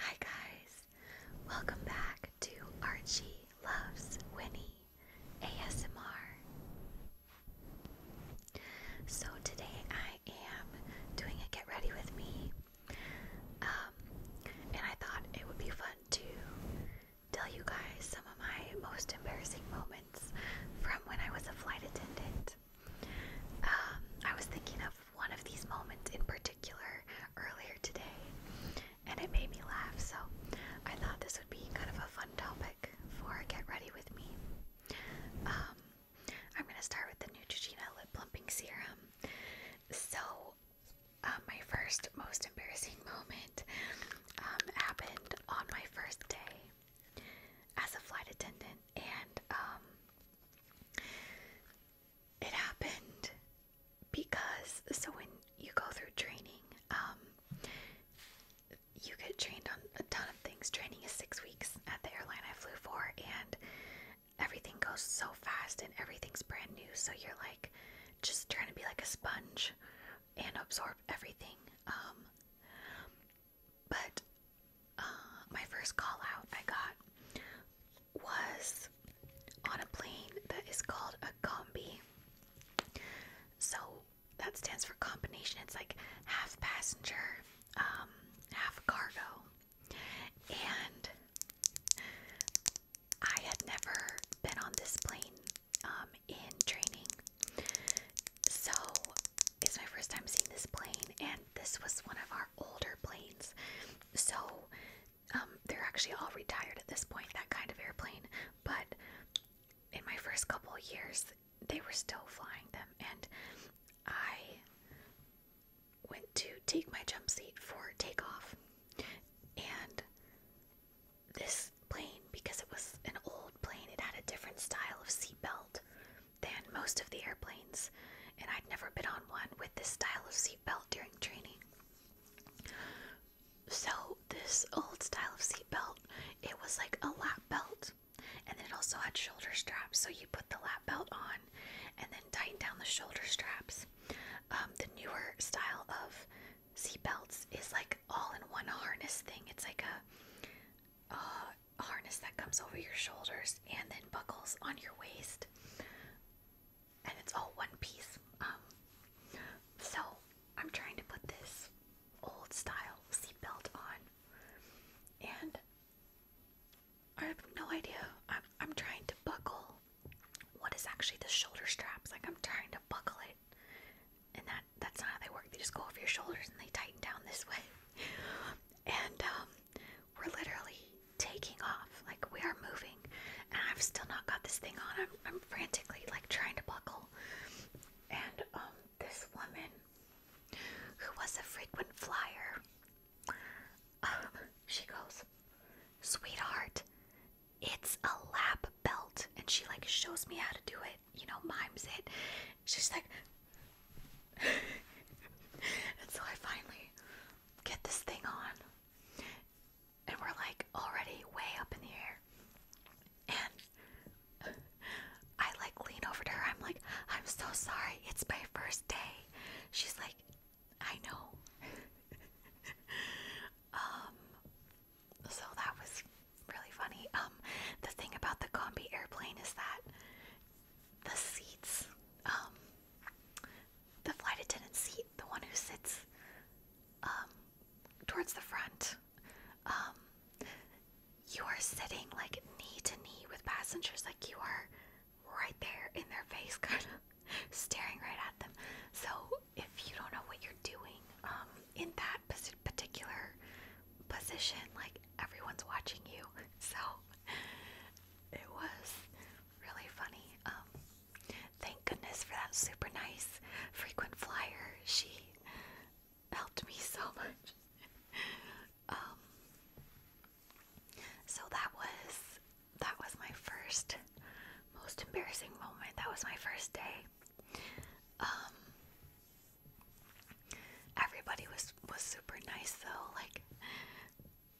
Hi guys, welcome back to Archie Loves Winnie ASMR. So today I am doing a get ready with me, um, and I thought it would be fun to tell you guys some of my most embarrassing moments from when I was a flight attendant. Um, I was thinking of one of these moments in particular earlier today, and it made me laugh, so I thought this would be kind of a fun topic for Get Ready With Me. Um, I'm going to start with the Neutrogena Lip Plumping Serum. So, uh, my first most embarrassing moment um, happened on my first day as a flight attendant, and um, it happened because so when you go through training, um, you get trained on a ton of things. Training is six weeks at the airline I flew for, and everything goes so fast and everything's brand new, so you're like just trying to be like a sponge and absorb everything. Um, but uh, my first call I got was on a plane that is called a combi. So that stands for combination. It's like half passenger, um, half cargo. And I had never been on this plane um, in training. So it's my first time seeing this plane, and this was one of our older planes. So um, they're actually all retired at this point, that kind of airplane. But in my first couple years, they were still flying them, and I went to take my jump seat for takeoff. And this plane because it was an old plane. It had a different style of seatbelt than most of the airplanes, and I'd never been on one with this style of seatbelt during training. So this old style of seatbelt, it was like a lap belt, and then it also had shoulder straps. So you put the lap belt on, and then tighten down the shoulder straps. Um, the newer style of seatbelts is like all in one harness thing. It's like a uh, harness that comes over your shoulders and then buckles on your waist, and it's all one piece. Um, so I'm trying to put this old style seatbelt on, and I have no idea. I'm I'm trying to buckle what is actually the shoulder straps. Like I'm trying to buckle it, and that that's not how they work. They just go over your shoulders and they tighten down this way. And um, we're literally taking off, like we are moving. And I've still not got this thing on. I'm, frantically like trying to buckle. And um, this woman, who was a frequent flyer, um, she goes, "Sweetheart, it's a lap belt," and she like shows me how to do it you know, mimes it. She's like, and so I finally get this thing on, and we're like already way up in the air. And I like lean over to her. I'm like, I'm so sorry. It's my first day. She's like, I know. um, so that was really funny. Um, the thing about the combi airplane is that the seats, um, the flight attendant seat, the one who sits um, towards the front, um, you are sitting like knee to knee with passengers, like you are right there in their face, kind of staring right at them. So if you don't know what you're doing um, in that position, particular position, like everyone's watching you. So it was really funny. Um, thank goodness for that super nice frequent flyer. She helped me so much. Um, so that was that was my first most embarrassing moment. That was my first day. Um, Everybody was was super nice though. Like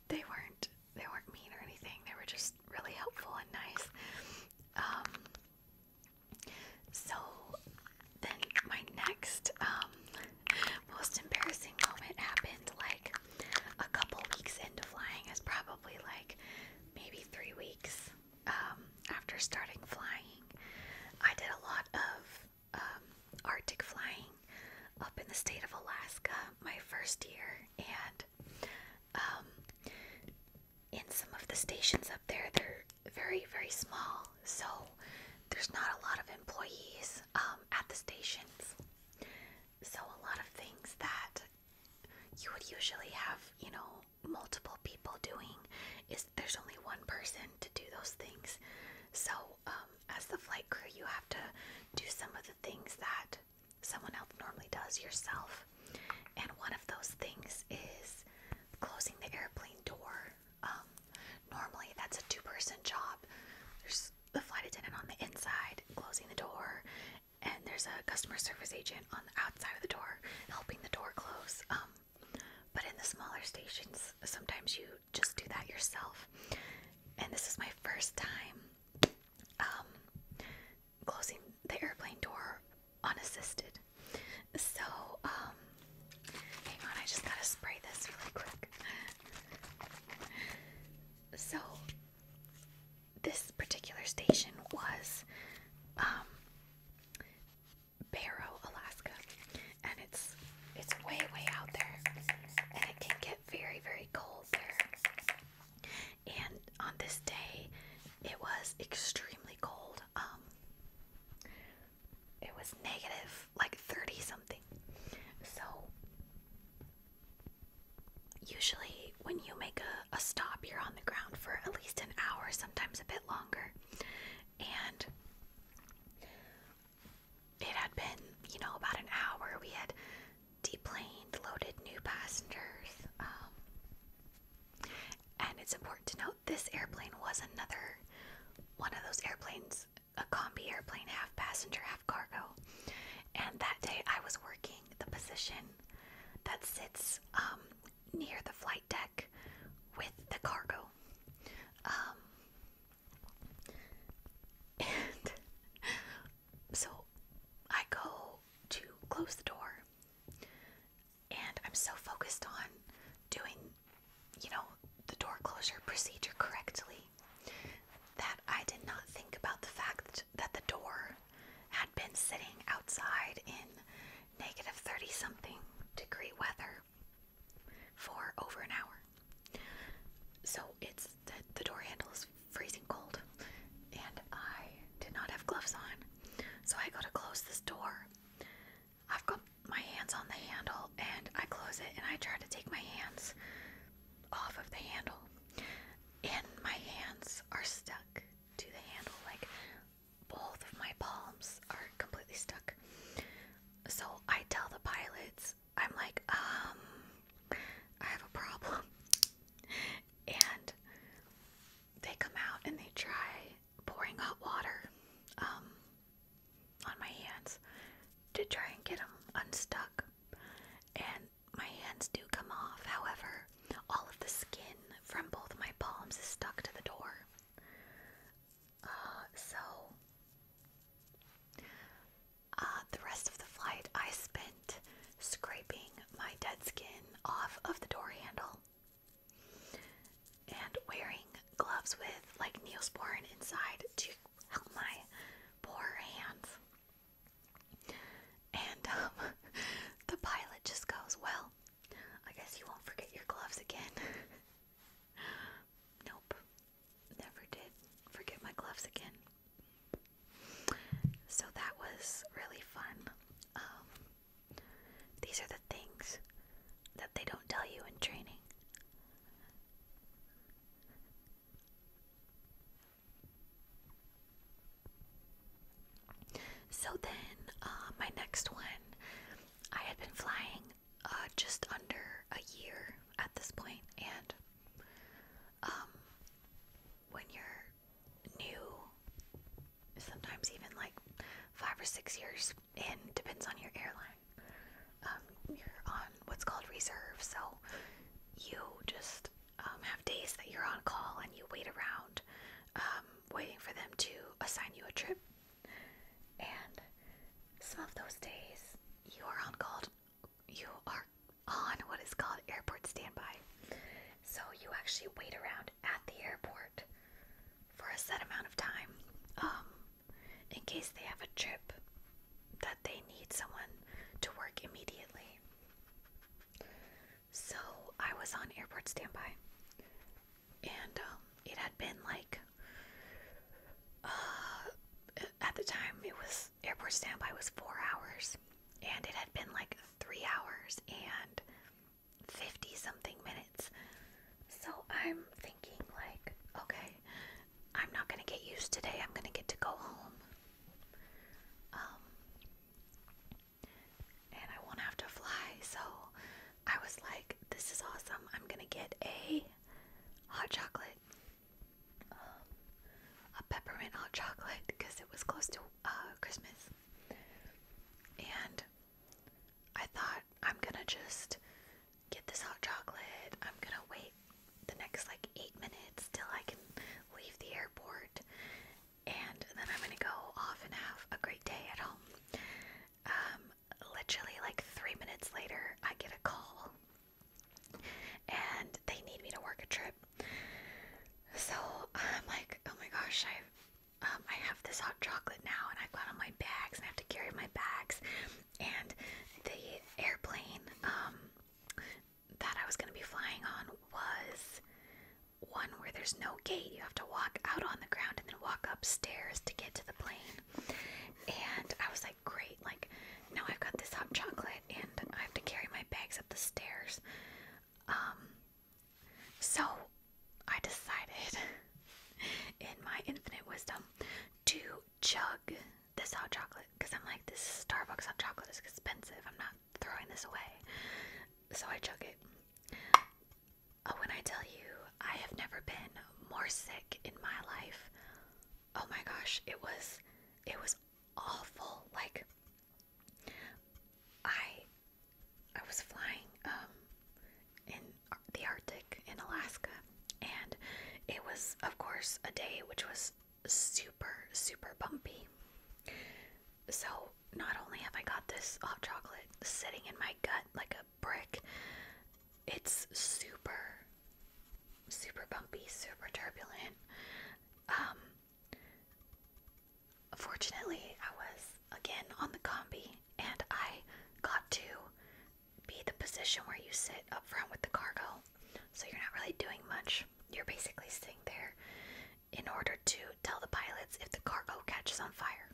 they weren't they weren't mean or anything. They were just really helpful and nice. Um so then my next um most embarrassing moment happened like a couple weeks into flying is probably like maybe three weeks um after starting flying. I did a lot of um, Arctic flying up in the state of Alaska my first year, and um, in some of the stations up there, they're very, very small, so there's not a lot of employees um, at the stations. So, a lot of things that you would usually have, you know, multiple people doing there's only one person to do those things. So, um, as the flight crew, you have to do some of the things that someone else normally does yourself. And one of those things is closing the airplane door. Um, normally, that's a two person job. There's the flight attendant on the inside closing the door, and there's a customer service agent on the outside of the door helping the door close. Um, but in the smaller stations, sometimes you just do that yourself. And this is my first time um, closing the airplane door unassisted. So, um, hang on, I just gotta spray this really quick. So, this particular station was um, Barrow, Alaska, and it's it's way way out there, and it can get very very cold there. And on this day, it was extremely cold. Um, it was negative like thirty something. So usually when you make a, a stop, you're on the ground for at least an hour, sometimes a bit longer. And it had been, you know, about an hour. We had deplaned, loaded new passengers. Um, and it's important to note this airplane was another one of those airplanes, a combi airplane, half passenger, half cargo. And that day I was working the position that sits um, near the flight deck with the cargo. Um, and so I go to close the door, and I'm so focused on doing, you know, the door closure procedure correctly that I did not think about the fact that the door had been sitting outside in negative 30 something degree weather for over an hour. So it's the, the door handle is freezing cold, and I did not have gloves on. So I go to close this door. I've got my hands on the handle, and I close it, and I try to take my hands off of the handle, and my hands are stuck to the handle. Like both of my palms are completely stuck. So I tell the pilots, I'm like, um, I have a problem. And they come out and they try pouring hot water um, on my hands to try and get them unstuck. And my hands do come off. However, all of the skin from both my palms is stuck to the door so, uh, the rest of the flight I spent scraping my dead skin off of the door handle and wearing gloves with like neosporin inside to help my poor hands. And um, the pilot just goes, Well, I guess you won't forget your gloves again. nope, never did forget my gloves again. So that was really fun. Um, these are the things that they don't tell you in training. So then, uh, my next one, I had been flying uh, just under a year at this point, and um, when you're new, sometimes even like five or six years in, depends on your airline. Um, you're on what's called reserve, so you just um, have days that you're on call and you wait around um, waiting for them to assign you a trip. And some of those days, you are on called, you are on what is called airport standby. So you actually wait around at the airport for a set amount of time, um, in case they have a trip that they need someone to work immediately. So I was on airport standby and um, it had been like uh, at the time it was airport standby was four hours, and it had been like three hours and fifty something minutes. So I'm thinking like, okay, I'm not gonna get used today. I'm gonna get to go home. Um, and I won't have to fly. So I was like, this is awesome. I'm going to get a hot chocolate, um, a peppermint hot chocolate because it was close to uh, Christmas. And I thought, I'm gonna just get this hot chocolate. I'm gonna wait the next like eight minutes till I can leave the airport. And then I'm gonna go off and have a great day at home. Um, literally like three minutes later, I get a call and they need me to work a trip. So I'm like, oh my gosh, I um, I have this hot chocolate now, and I've got all my bags, and I have to carry my bags, and the airplane um, that I was going to be flying on was one where there's no gate. You have to walk out on the ground and then walk upstairs to get to the plane. And I was like great, like, now I've got this hot chocolate and I have to carry my bags up the stairs. Um, so I decided, in my infinite wisdom, to chug this hot chocolate because I'm like, this Starbucks hot chocolate is expensive. I'm not throwing this away. So I chug it. Oh, when I tell you, I have never been more sick in my life. Oh my gosh, it was it was awful. Like I I was flying um in the Arctic in Alaska and it was of course a day which was super super bumpy. So not only have I got this hot chocolate sitting in my gut like a brick. It's super, super bumpy, super turbulent. Um, fortunately, I was again on the combi and I got to be the position where you sit up front with the cargo. So you're not really doing much. You're basically sitting there in order to tell the pilots if the cargo catches on fire,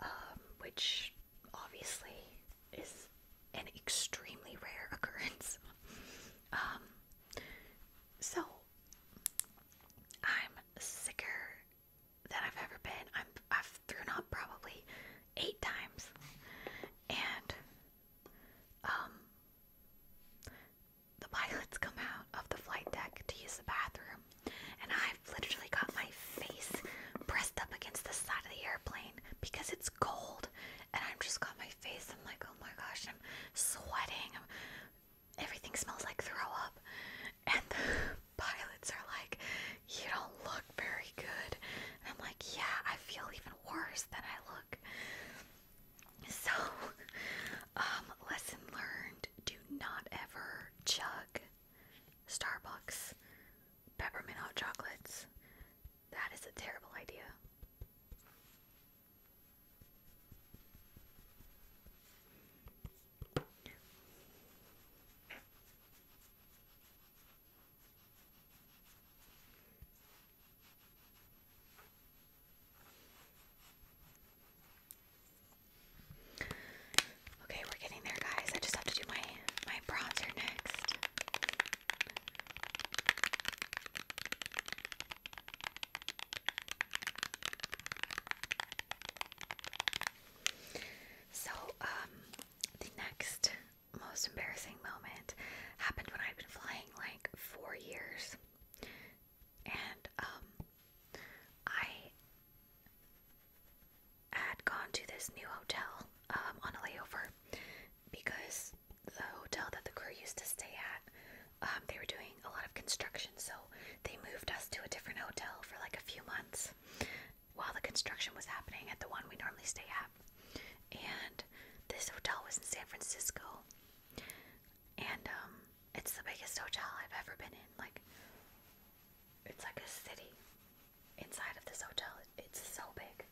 um, which obviously is an extremely rare occurrence. Um, so I'm sicker than I've ever been. I'm I've thrown up probably eight times, and um, the pilots come out of the flight deck to use the bathroom, and I've literally got my face pressed up against the side of the airplane because it's cold and I'm just got my face. I'm like, oh my gosh, I'm sweating. everything smells like throw up. And the pilots are like, you don't look very good. And I'm like, yeah, I feel even worse than I look. So, um, lesson learned do not ever chug Starbucks peppermint hot chocolates. That is a terrible idea. Okay, we're getting there guys. I just have to do my my bronzer next. So, um, the next most embarrassing moment happened when I'd been flying like four years, and um, I had gone to this new hotel um, on a layover because the hotel that the crew used to stay at, um, they were doing a lot of construction, so they moved us to a different hotel for like a few months while the construction was happening at the one we normally stay at. And this hotel was in San Francisco, and um, it's the biggest hotel I've ever been in. Like, it's like a city inside of this hotel. It's so big.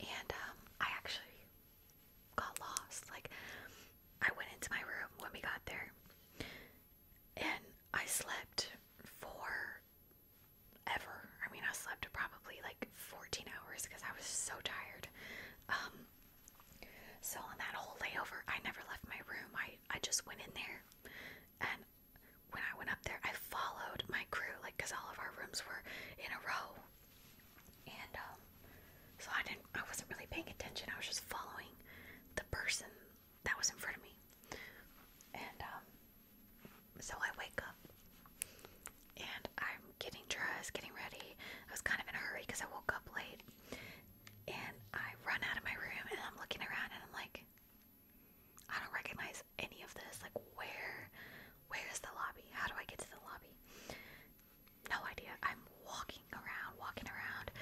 And um, I actually got lost. Like, I went into my room when we got there and I slept for ever. I mean, I slept probably like 14 hours because I was so tired. Um, so on that whole layover, I never left my room. I, I just went in there and when I went up there, I followed my crew, like, because all of our rooms were in a row. And um, so I didn't, I wasn't really paying attention. I was just following the person that was in front of me. And um, so I wake up and I'm getting dressed, getting ready. I was kind of in a hurry because I woke up late. And I run out of my room and I'm looking around and I'm like, I don't recognize any of this. Like, where, where is the lobby? How do I get to the lobby? No idea. I'm walking around, walking around,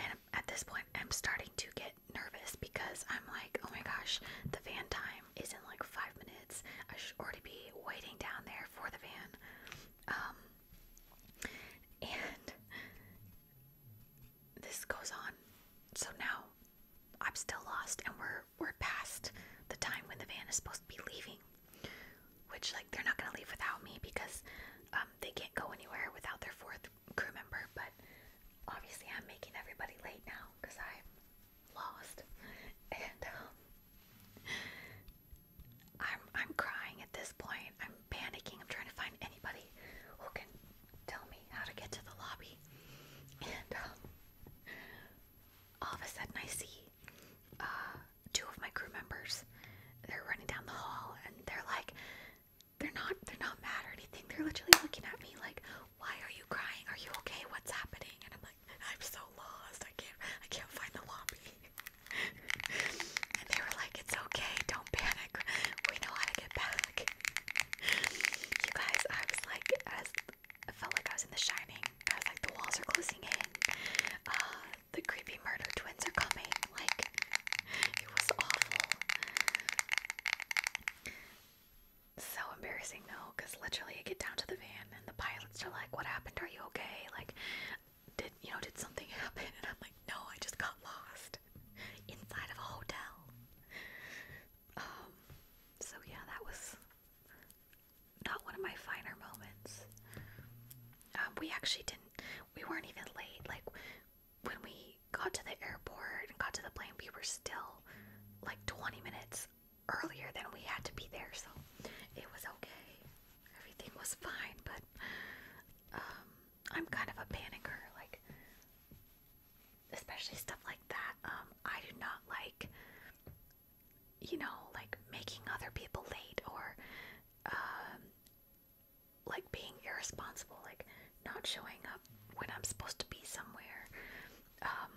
and at this point, I'm starting to get nervous because I'm like, oh my gosh, the van time is in like five minutes. I should already be waiting down there for the van. Um, and this goes on. So now I'm still lost and we're we're past the time when the van is supposed to be leaving. Which like they're not gonna leave without me because um, they can't go anywhere without their fourth crew member, but obviously I'm making everybody late now because I'm lost. And um, I'm I'm crying at this point. I'm panicking. I'm trying to find anybody who can tell me how to get to the lobby. And um, all of a sudden, I see uh, two of my crew members. They're running down the hall, and they're like, they're not, they're not mad or anything. They're literally looking at me like, "Why are you crying? Are you okay? What's happening?" And I'm like, "I'm so lost. I can't, I can't find the lobby." and they were like, "It's okay. Don't panic. We know how to get back." you guys, I was like, I felt like I was in The Shining. I was like, the walls are closing in. Uh, the creepy murder twins are coming. Like, it was awful. So embarrassing though, because literally I get down to the van and the pilots are like, "What happened? Are you okay? Like, did you know did something happen?" And I'm like, "No, I just got lost inside of a hotel." Um, so yeah, that was not one of my finer moments. Um, we actually didn't, we weren't even late. Like, when we got to the airport and got to the plane, we were still like 20 minutes earlier than we had to be there, so it was okay. Everything was fine, but um, I'm kind of a panicker. Like, especially stuff like that, um, I do not like, you know, like making other people late or, um, like being irresponsible, like not showing up when I'm supposed to be somewhere. Um,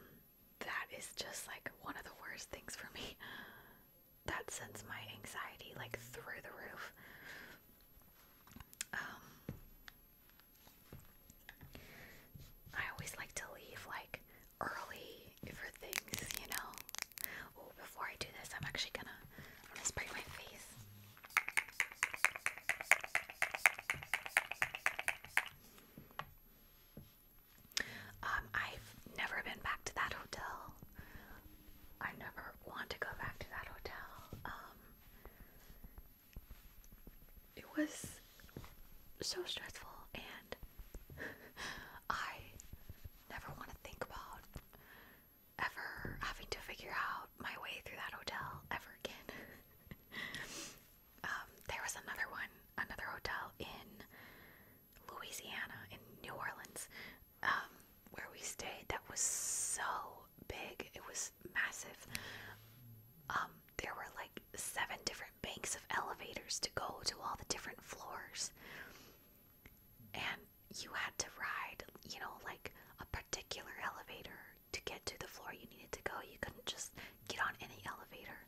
that is just like one of the worst things for me. That sends my anxiety like through the roof. Um, I always like to leave like early for things, you know. before I do this, I'm actually gonna gonna spray my face. Um, I've never been back to that hotel. I never want to go back to that hotel. Um, it was so stressful and I never want to think about ever having to figure out my way through that hotel ever again. Um, there was another one, another hotel in Louisiana, in New Orleans, um, where we stayed that was so big. It was massive. Um, there were like seven different banks of elevators to go to all the different floors. And you had to ride, you know, like a particular elevator to get to the floor you needed to go. You couldn't just get on any elevator.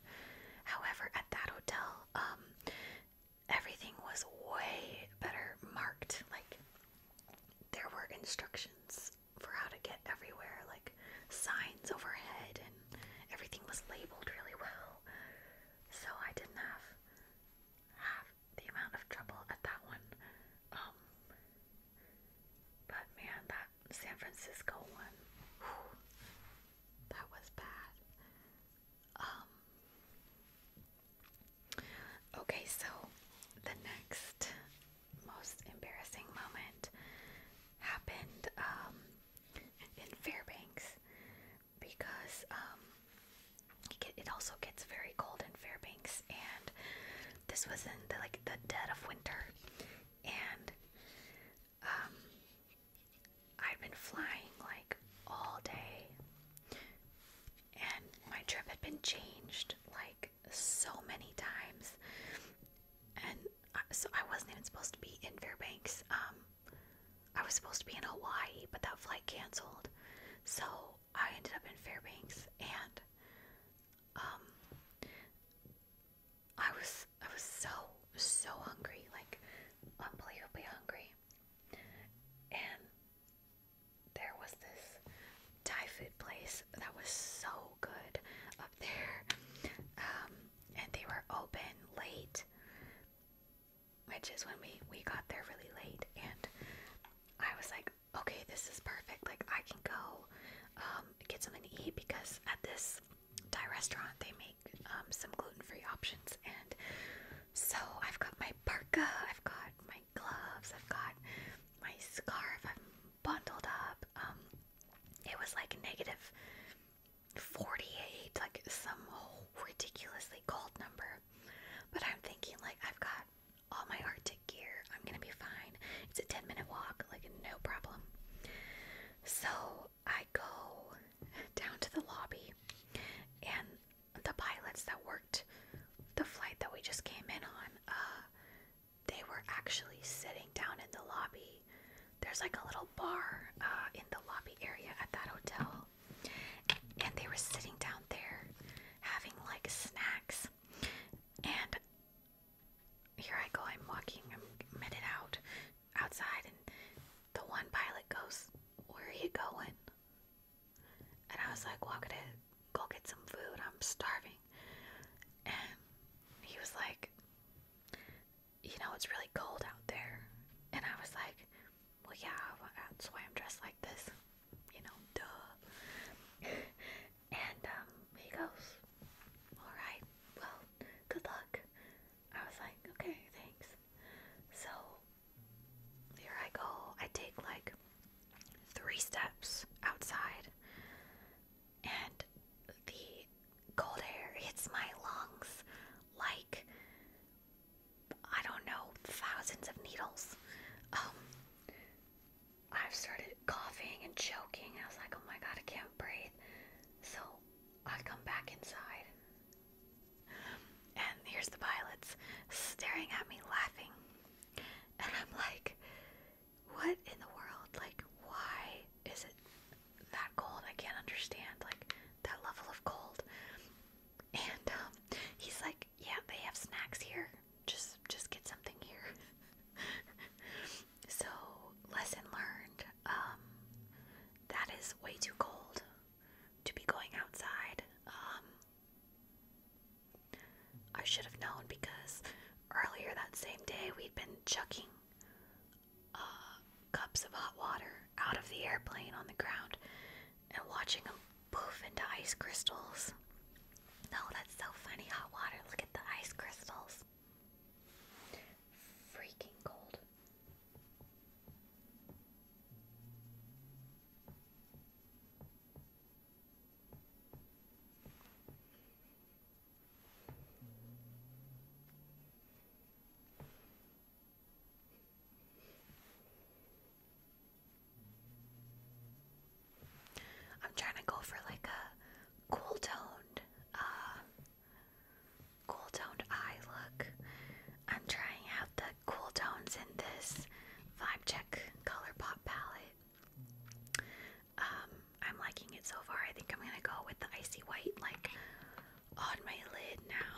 However, at that hotel, um, everything was way better marked. Like, there were instructions for how to get everywhere, like signs overhead, and everything was labeled really well. So I didn't have have the amount of trouble at that one. Um, but man, that San Francisco one, that was bad. Um, okay, so the next most embarrassing moment happened um, in Fairbanks because um, it also gets very cold in Fairbanks, and this was in the, like the dead of winter, and um, I'd been flying like all day, and my trip had been changed like so many times, and so I wasn't even supposed to be in Fairbanks. Um, I was supposed to be in Hawaii, but that flight canceled, so I ended up in Fairbanks, and um, I was I was so so hungry, like unbelievably hungry, and there was this Thai food place that was so good up there. Um, and they were open late, which is when we we got there really late. And I was like, okay, this is perfect. Like I can go um, get something to eat because at this Thai restaurant they make um, some gluten-free options. And so I've got my parka, I've got my gloves, I've got my scarf. I'm bundled up. It was like negative 48, like some ridiculously cold number. But I'm thinking, like, I've got all my Arctic gear. I'm gonna be fine. It's a 10 minute walk, like, no problem. So I go down to the lobby, and the pilots that worked the flight that we just came in on, uh, they were actually sitting down in the lobby. There's like a little bar uh, in the lobby area at that hotel, and they were sitting down there having like snacks. And here I go, I'm walking, I'm headed out outside, and the one pilot goes, Where are you going? And I was like, Well, I'm to go get some food, I'm starving. And he was like, You know, it's really cold out there. And I was like, Well, yeah, that's why I'm dressed like this. You know, duh. and um, he goes, Alright, well, good luck. I was like, Okay, thanks. So here I go. I take like three steps outside and the cold air hits my lungs like I don't know, thousands of needles. Um, I've started coughing and choking. I was like, oh my god, I can't breathe. So I come back inside. And here's the pilots staring at me laughing. And I'm like, what in the world? Like, why is it that cold? I can't understand, like, that level of cold. And um, he's like, yeah, they have snacks here. Just, just get something here. so, lesson learned. Um, that is way too cold to be going outside. Um, I should have known because earlier that same day we'd been chucking uh, cups of hot water out of the airplane on the ground and watching them poof into ice crystals. No, that's so funny. Hot water, look at the ice crystals. Freaking cold. I'm trying to go for like a cool toned, uh, cool toned eye look. I'm trying out the cool tones in this Vibe Check Color Pop palette. Um, I'm liking it so far. I think I'm gonna go with the icy white, like on my lid now.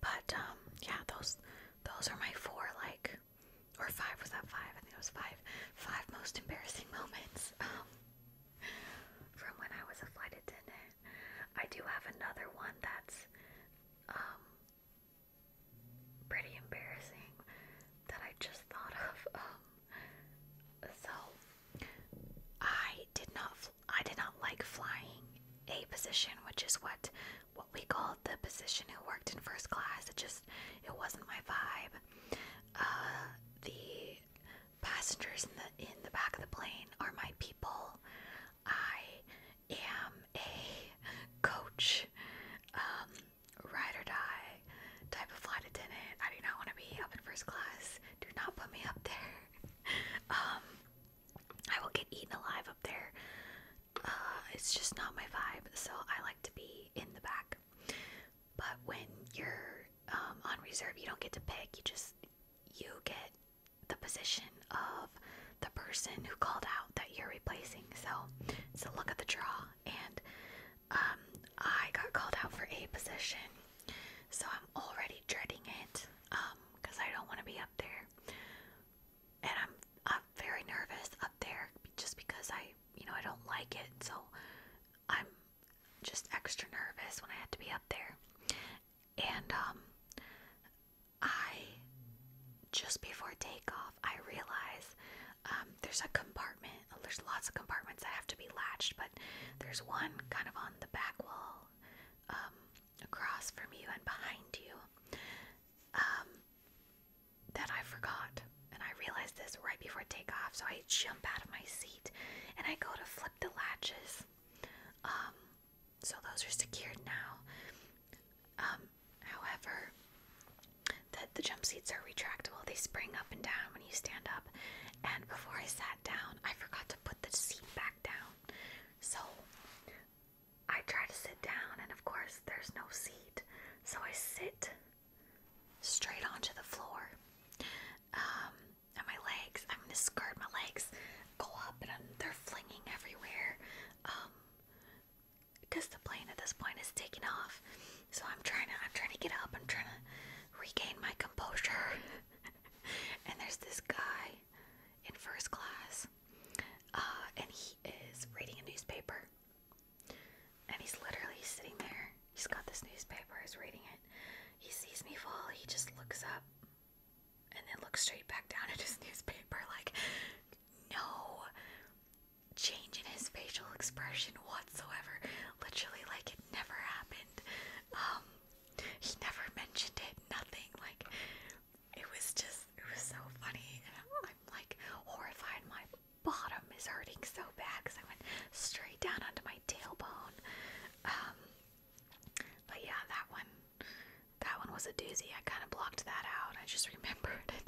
But um, yeah, those those are my four like or five was that five? I think it was five. Five most embarrassing moments um, from when I was a flight attendant. I do have another one that's um, pretty embarrassing that I just thought of. Um, so I did not. I did not like flying a position, which is what what we called the position who worked in first class. It just it wasn't my vibe. Uh, the passengers in the in the back of the plane are my people. I am a coach, um, ride or die type of flight attendant. I do not want to be up in first class. Do not put me up there. um, I will get eaten alive up there. Uh, it's just not my vibe. So I like to be in the back. But when you're um, on reserve, you don't get to pick. You just you get the position of the person who called out that you're replacing. So so look at the draw, and um, I got called out for a position, so I'm already dreading it because um, I don't want to be up there and I'm I'm very nervous up there just because I you know I don't like it so I'm just extra nervous when I had to be up there and um I just before takeoff I realize um, there's a compartment there's lots of compartments that have to be latched but there's one kind of on the back wall um, across from you and behind you um, that I forgot. And I realized this right before takeoff, so I jump out of my seat and I go to flip the latches. Um, so those are secured now. Um, however, the, the jump seats are retractable. They spring up and down when you stand up. And before I sat down, I forgot to put the seat back down. So I try to sit down, and of course, there's no seat, so I sit straight onto the floor. Um, and my legs, I'm gonna skirt my legs, go up, and they're flinging everywhere. because um, the plane at this point is taking off, so I'm trying to, I'm trying to get up, I'm trying to regain my composure. and there's this guy in first class, uh, and he is reading a newspaper. And he's literally sitting there. He's got this newspaper, he's reading it. He sees me fall, he just looks up and then looks straight back down at his newspaper, like, no change in his facial expression whatsoever. Literally, like, it never happened. Um, he never mentioned it, nothing. Like, it was just it was so funny and I'm like horrified my bottom is hurting so bad because I went straight down onto my tailbone um but yeah that one that one was a doozy I kind of blocked that out I just remembered it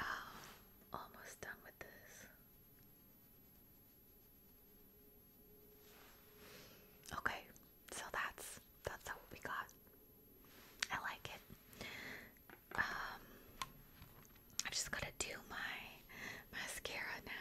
um, almost done with this Okay, so that's that's what we got. I like it. I'm um, just gonna do my mascara now.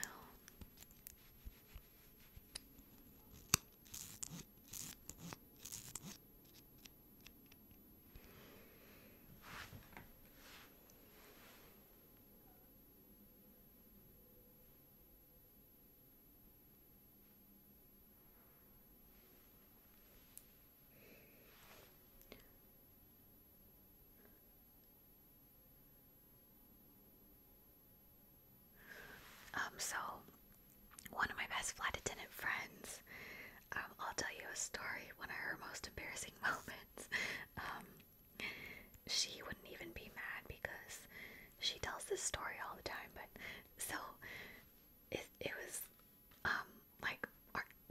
Um, so one of my best flight friends, um, I'll tell you a story, one of her most embarrassing moments. Um, she wouldn't even be mad because she tells this story all the time. But so it, it was um, like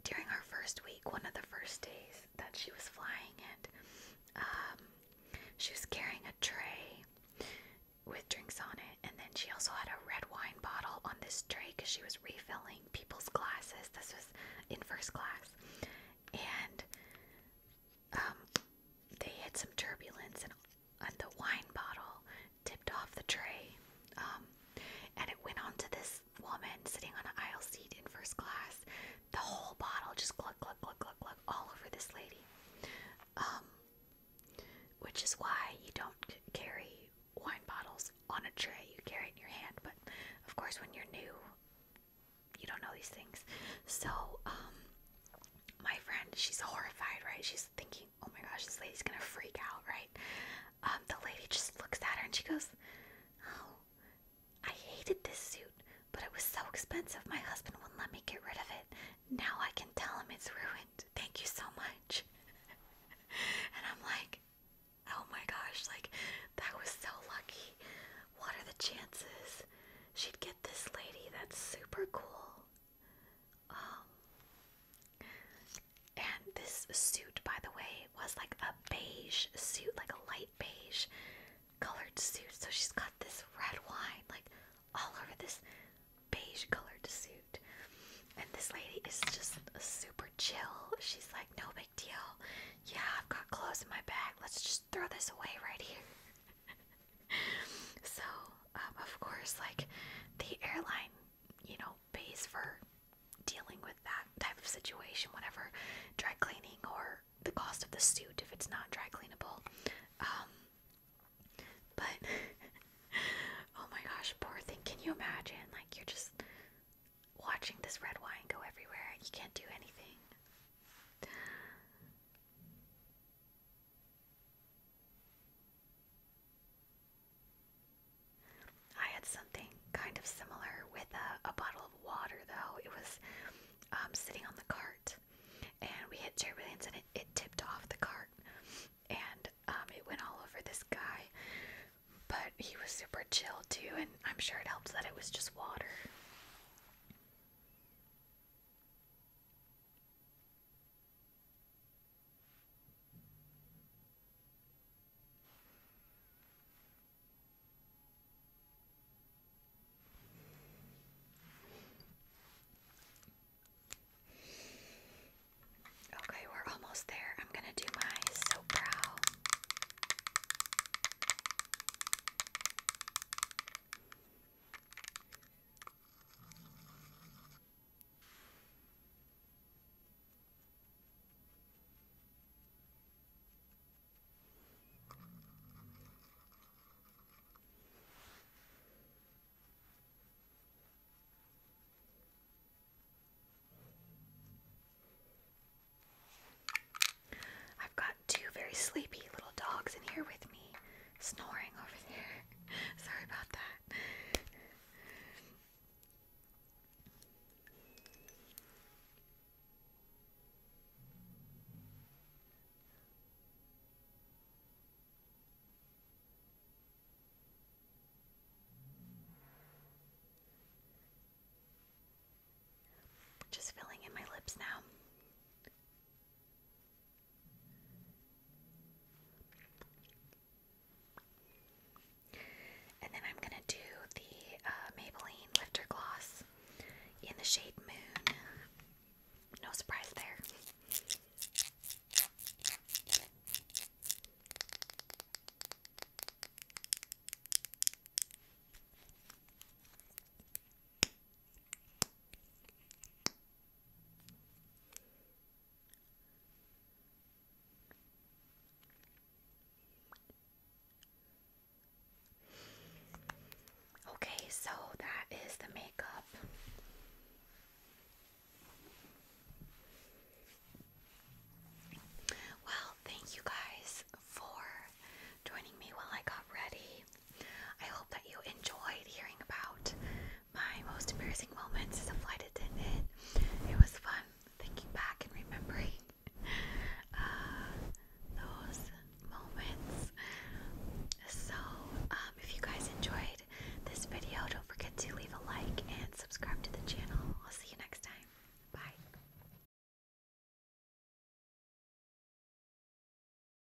during our first week, one of the first days that she was flying, and um, she was carrying a tray with drinks on it, and then she also had a red wine bottle on this tray because she was refilling people's glasses. This was in first class, and um, they hit some turbulence and, the wine bottle tipped off the tray um, and it went onto this woman sitting on an aisle seat in first class. The whole bottle just gluck, gluck, gluck, gluck, gluck all over this lady. Um, which is why you don't carry wine bottles on a tray. You carry it in your hand, but of course, when you're new, you don't know these things. So, um, my friend, she's horrified, right? She's thinking, oh my gosh, this lady's gonna freak out, right? Um, the lady just looks at her and she goes, oh, I hated this suit, but it was so expensive, my husband wouldn't let me get rid of it. Now I can tell him it's ruined. Thank you so much. and I'm like, oh my gosh, like, that was so lucky. What are the chances she'd get this lady that's super cool. Um, and this suit, by the way, was like a beige suit, like a light beige colored suit. So she's got this red wine, like all over this beige colored suit. And this lady is just super chill. She's like, no big deal. Yeah, I've got clothes in my bag. Let's just throw this away right here. so, um, of course, like the airline, you know, pays for dealing with that type of situation whatever, dry cleaning or the cost of the suit if it's not dry cleanable. Um, but oh my gosh, poor thing. Can you imagine? Like, you're just watching this red wine go everywhere and you can't do anything. I had something kind of similar with a, bottle of water, though. It was um, sitting on the cart, and we hit turbulence, and it, tipped off the cart, and um, it went all over this guy. But he was super chill, too, and I'm sure it helps that it was just water. Okay, we're almost there. I'm going to do my soap brow. I've got two very sleepy little dogs in here with me snoring over there. Sorry about that. Just filling in my lips now. And then I'm gonna do the uh, Maybelline Lifter Gloss in the shade Moon. No surprise there. Okay, so that is the makeup. Well, thank you guys for joining me while I got ready. I hope that you enjoyed hearing about my most embarrassing moments as a flight attendant. It was fun thinking back and remembering uh, those moments. So, um, if you guys enjoyed this video, don't forget to leave a like and subscribe to the channel. I'll see you next time. Bye.